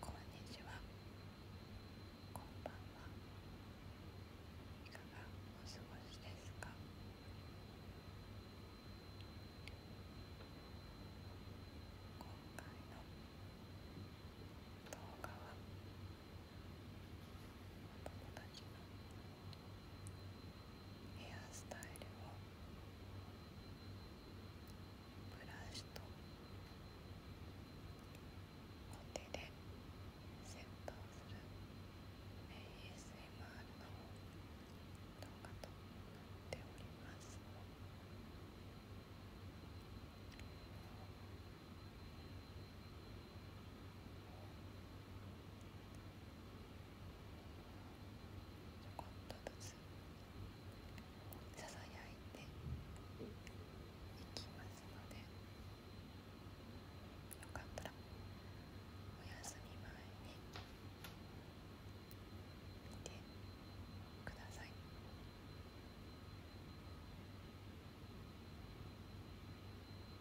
こんにちはこんばんはいかがお過ごしですか今回の動画はお友達のヘアスタイルをブラシとお手でセットする ASMR の動画となっておりますちょこっとずつささやいていきますのでよかったらお休み前に見てください。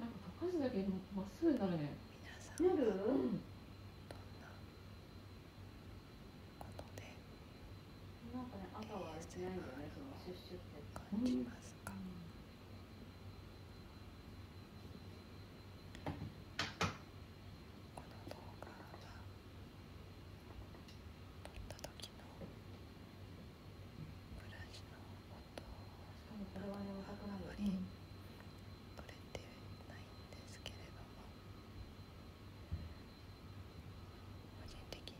なんか高橋だけもまっすぐになるねななんかね、朝はしないんだよね、そのシュッシュって。感じますブラシの音などはあまり取れてないんですけれども個人的に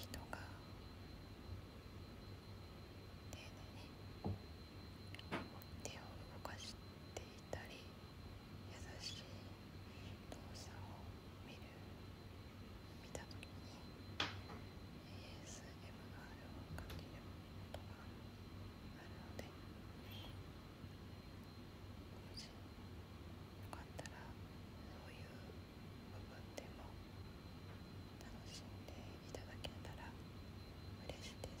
人が丁寧に手を動かしていたり優しい動作を見る見た時に ASMR をかけることがあるのでもしよかったらそういう部分でも楽しんでいただけたら嬉しいです。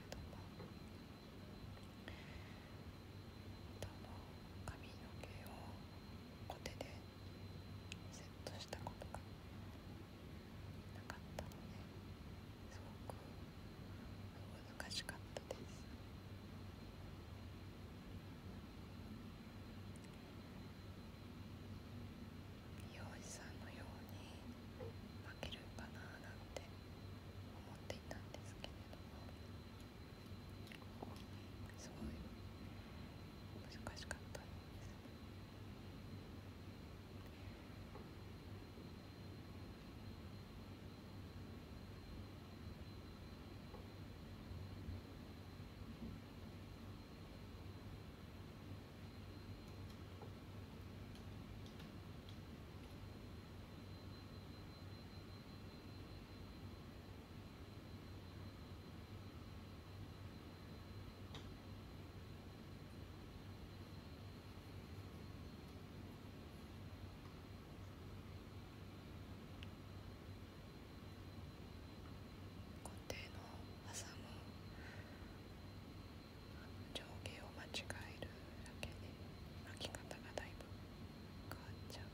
れども髪の毛をコテでセットしたことがなかったのですごく難しかったです美容師さんのように負けるかななんて思っていたんですけれどもすごい難しかったです固定の技も上下を間違えるだけで巻き方がだいぶ変わっちゃって。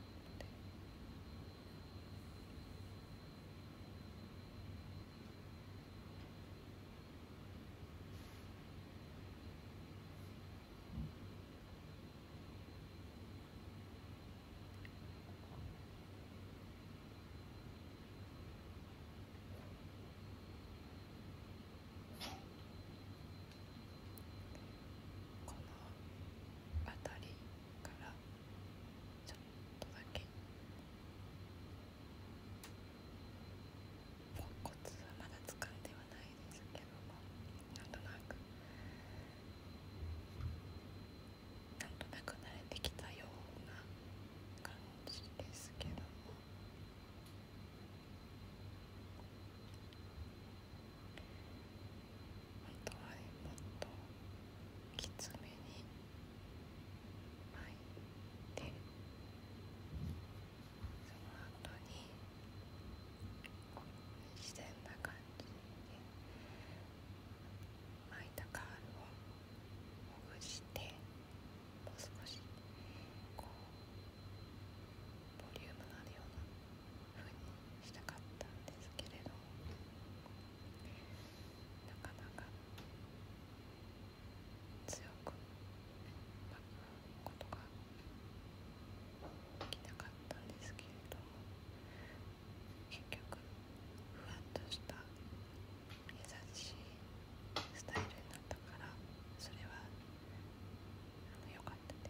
この辺りからちょっとだけポンコツはまだ使っではないですけどもなんとなくなんとなく慣れてきたような感じですけども。本当はねもっときつめに巻いてその後に自然な感じで巻いたカールをほぐして。もう少しこうボリュームのあるような風にしたかったんですけれどなかなか強く巻くことができなかったんですけれども結局ふわっとした。優しいスタイルになったからそれは良かったです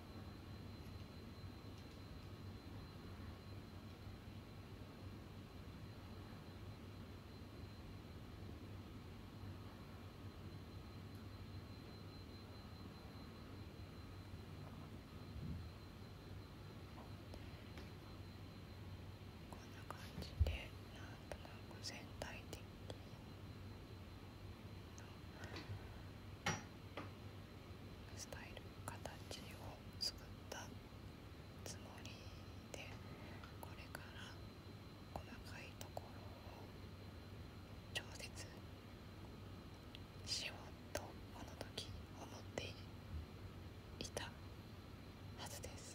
こんな感じでなんとなく全体的に。スタイル形を作ったつもりでこれから細かいところを調節しようとこの時思っていたはずです。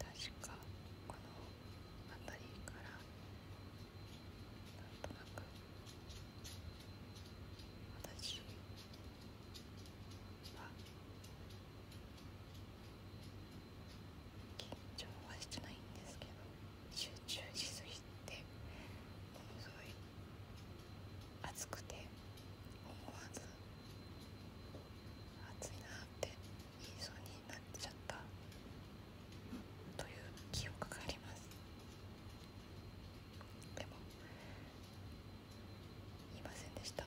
確かこの辺りからなんとなく私緊張はしてないんですけど集中しすぎてものすごい暑くて思わず暑いなって言いそうになっちゃったという記憶がありますでも言いませんでした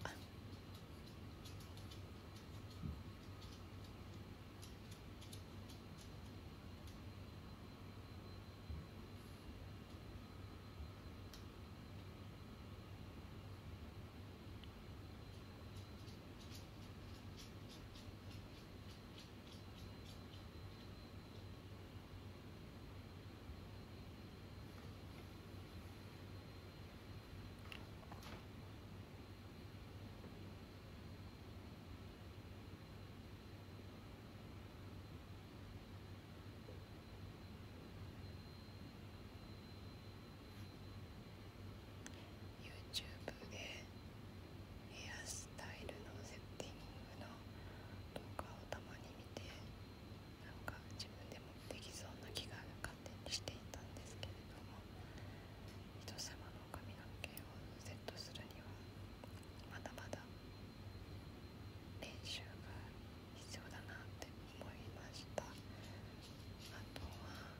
YouTube でヘアスタイルのセッティングの動画をたまに見てなんか自分でもできそうな気がか勝手にしていたんですけれども人様の髪の毛をセットするにはまだまだ練習が必要だなって思いましたあとは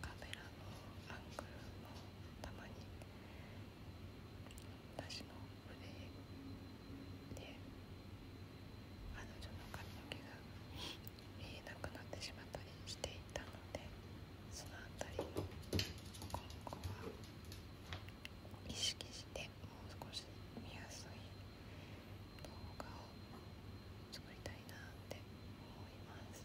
カメラのアングルもたまに私の腕で彼女の髪の毛が見えなくなってしまったりしていたのでその辺りを今後は意識してもう少し見やすい動画を作りたいなって思います。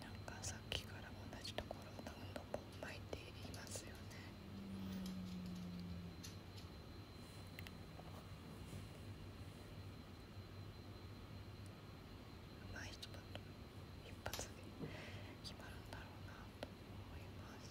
なんかさっきから同じところを何度も巻いていますよねうまい人だと一発で決まるんだろうなと思います。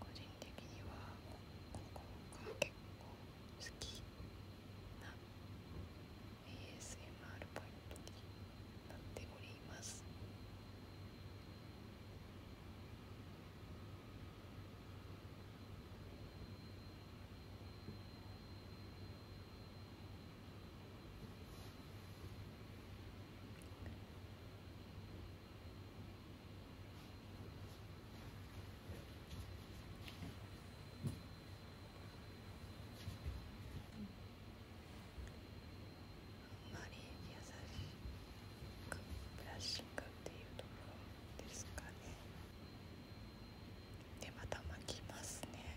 個人的にはここが結構好きな ASMR ポイントになっておりますあんまり優しくブラッシングっていうところですかねでまた巻きますね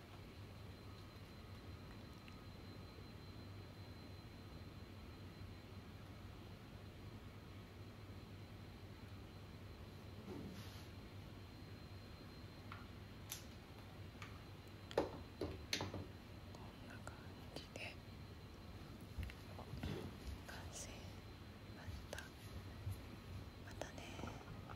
こんな感じで。完成またまたね